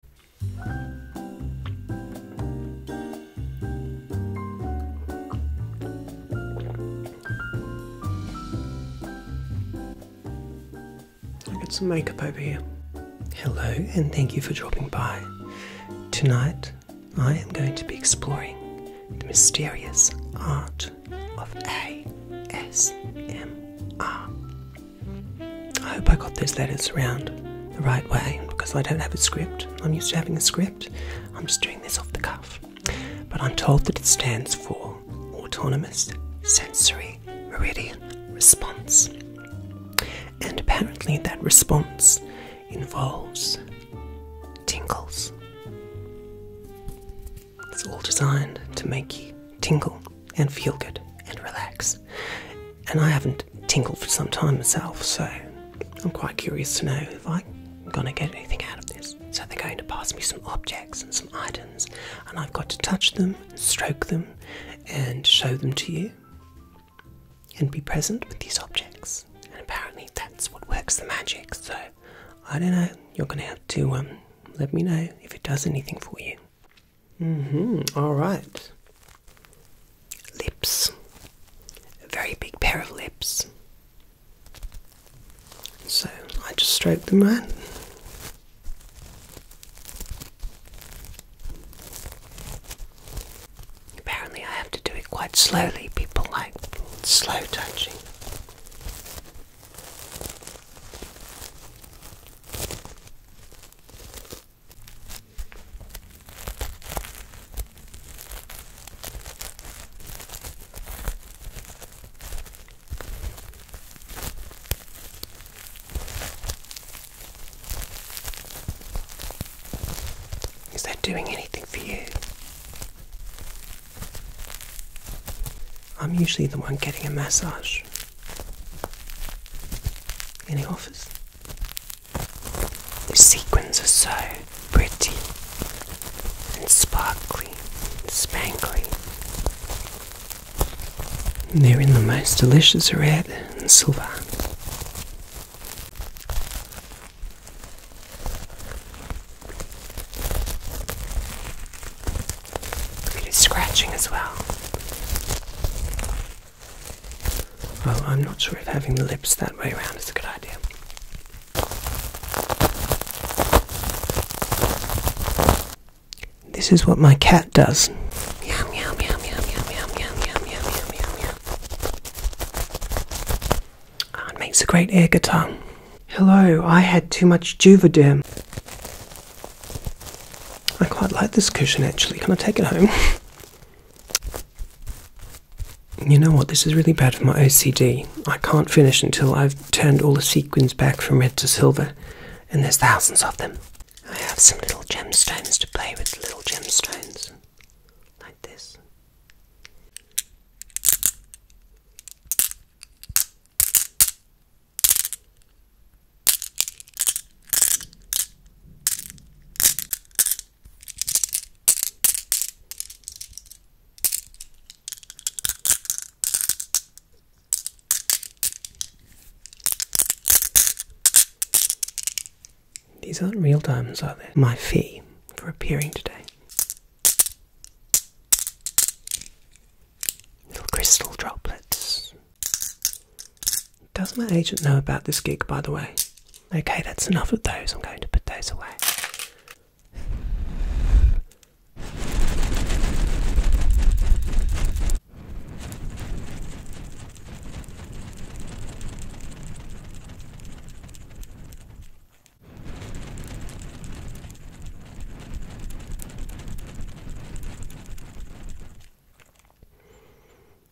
I some makeup over here. Hello, and thank you for dropping by. Tonight, I am going to be exploring the mysterious art of ASMR. I hope I got those letters around the right way because I don't have a script. I'm used to having a script. I'm just doing this off the cuff. But I'm told that it stands for Autonomous Sensory Meridian Response. And apparently, that response involves tingles. It's all designed to make you tingle and feel good and relax and I haven't tinkled for some time myself, so I'm quite curious to know if I'm gonna get anything out of this. So they're going to pass me some objects and some items, and I've got to touch them, stroke them, and show them to you, and be present with these objects. And apparently that's what works the magic. So I don't know. You're gonna have to um, let me know if it does anything for you. Mm-hmm. All right. Lips. A very big pair of lips. So I just stroke them right. Apparently, I have to do it quite slowly. People like slow touching. Is that doing anything for you? I'm usually the one getting a massage. Any offers? The sequins are so pretty and sparkly and spangly. They're in the most delicious red and silver. Look scratching as well. Well, I'm not sure if having the lips that way around is a good idea. This is what my cat does. Yum, it makes a great ear guitar. Hello, I had too much Juvederm. I quite like this cushion actually. Can I take it home? You know what? This is really bad for my OCD. I can't finish until I've turned all the sequins back from red to silver, and there's thousands of them. I have some little gemstones to play with, little gemstones, like this. These aren't real diamonds, are they? My fee for appearing today. Little crystal droplets does my agent know about this gig, by the way? Okay, that's enough of those. I'm going to put those away.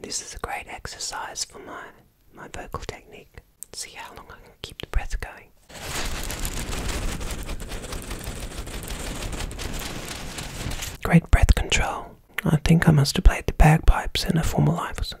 This is a great exercise for my my vocal technique. See how long I can keep the breath going. Great breath control. I think I must have played the bagpipes in a former life or something.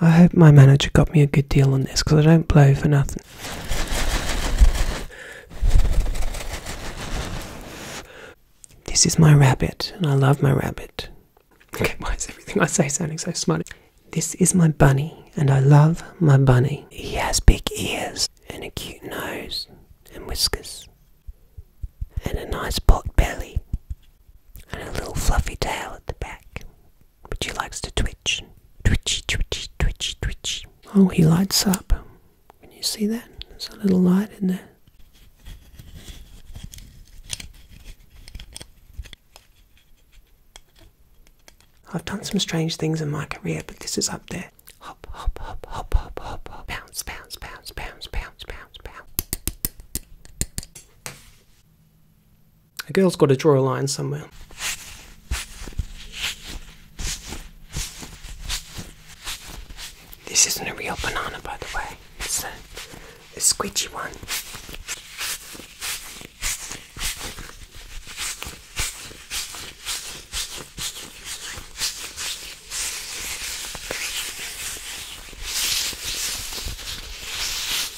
I hope my manager got me a good deal on this because I don't blow for nothing. This is my rabbit, and I love my rabbit. Okay, why is everything I say sounding so smart? This is my bunny, and I love my bunny. He has big ears, and a cute nose, and whiskers, and a nice pot belly, and a little fluffy tail at the back but he likes to twitch. Twitchy, twitchy, twitchy, twitchy. Oh, he lights up. Can you see that? There's a little light in there. I've done some strange things in my career, but this is up there. Hop, hop, hop, hop, hop, hop, hop. Bounce, bounce, bounce, bounce, bounce, bounce, bounce. A girl's got to draw a line somewhere. This isn't a real banana, by the way. It's a, a squidgy one.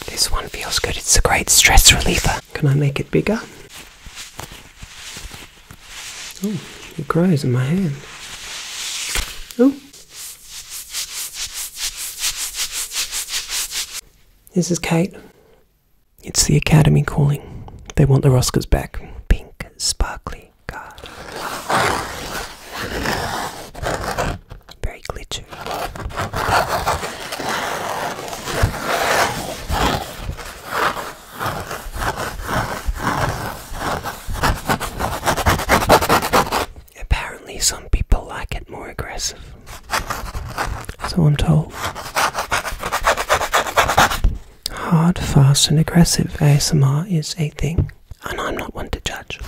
This one feels good, it's a great stress reliever. Can I make it bigger? Oh, it cries in my hand. Oh. This is Kate. It's the Academy calling. They want the Roscars back. Pink, sparkly God very glittery. Apparently, some people like it more aggressive, so I'm told. Hard, fast, and aggressive ASMR is a thing, and I'm not one to judge.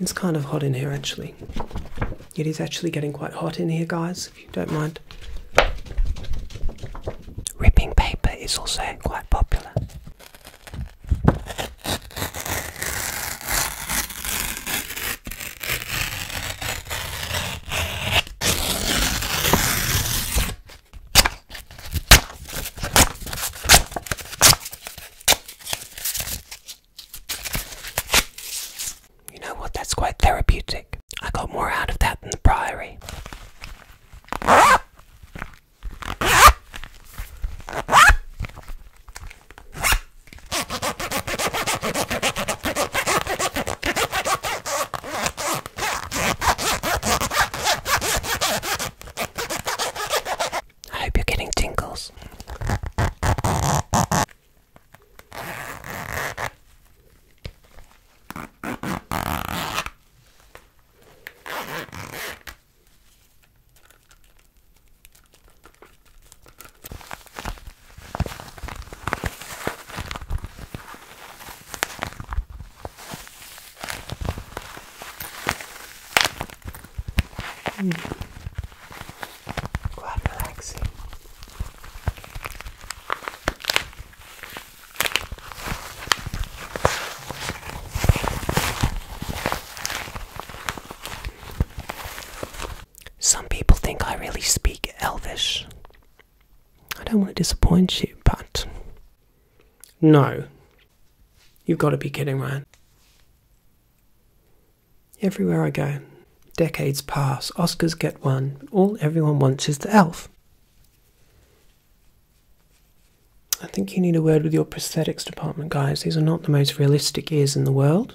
It's kind of hot in here actually. It is actually getting quite hot in here, guys, if you don't mind. Ripping paper is also quite popular. You know what? That's quite therapeutic. I got more out of that than the Priory. I hope you're getting tingles. Mm. Some people think I really speak Elvish. I don't want to disappoint you, but no. You've got to be kidding, Ryan. Everywhere I go, decades pass, Oscars get one, but all everyone wants is the elf. I think you need a word with your prosthetics department, guys. These are not the most realistic ears in the world.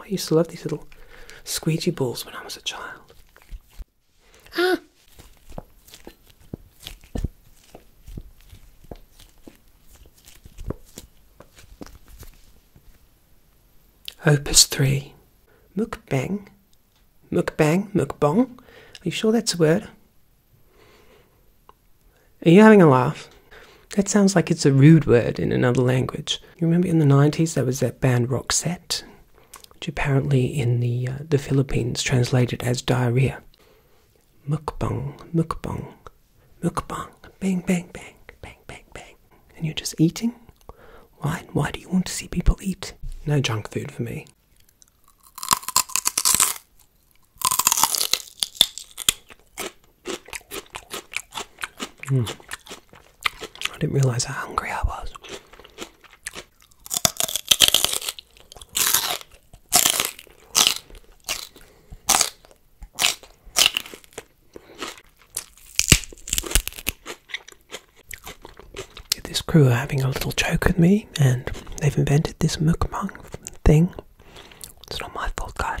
I used to love these little squeegee balls when I was a child. Ah! Opus 3 Mukbang. Mukbang, mukbang. Are you sure that's a word? Are you having a laugh? That sounds like it's a rude word in another language. You remember in the 90s there was that band Roxette, which apparently in the, uh, the Philippines translated as diarrhea. Mukbang, mukbang, mukbang, bang, bang, bang, bang, bang, bang. And you're just eating? Why? Why do you want to see people eat? No junk food for me. Hmm. I didn't realise how hungry I was. This crew are having a little joke with me, and they've invented this mukbang thing. It's not my fault, guys.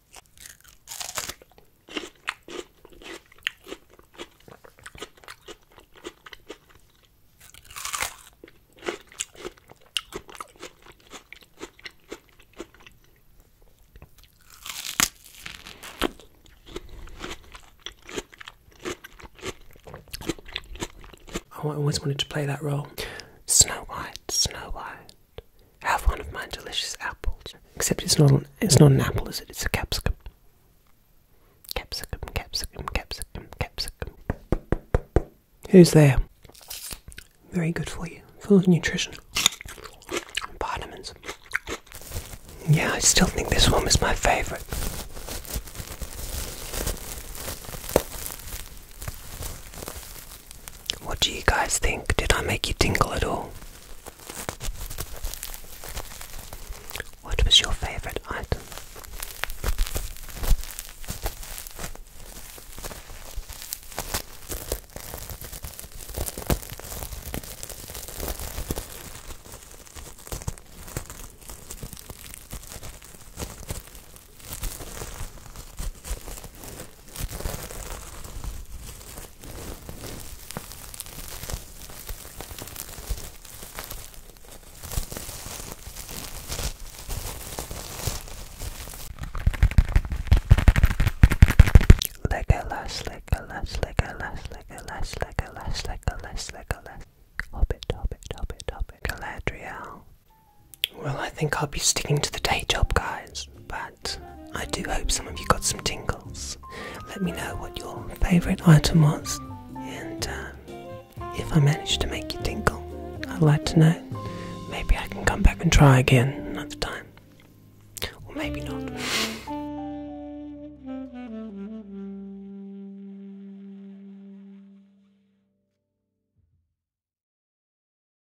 Oh, I always wanted to play that role. Snow White, Snow White, have one of my delicious apples. Except it's not an, it's not an apple, is it? It's a capsicum. Capsicum, capsicum, capsicum, capsicum. Who's there? Very good for you. Full of nutrition. Vitamins. Yeah, I still think this one is my favourite. What do you guys think? Did I make you tingle at all? What was your favourite item? Like a lash, like a lash, like Hobbit, hobbit, hobbit, hobbit. Galadriel. Well, I think I'll be sticking to the day job, guys, but I do hope some of you got some tingles. Let me know what your favourite item was, and um, if I managed to make you tingle, I'd like to know. Maybe I can come back and try again another time. Or maybe not.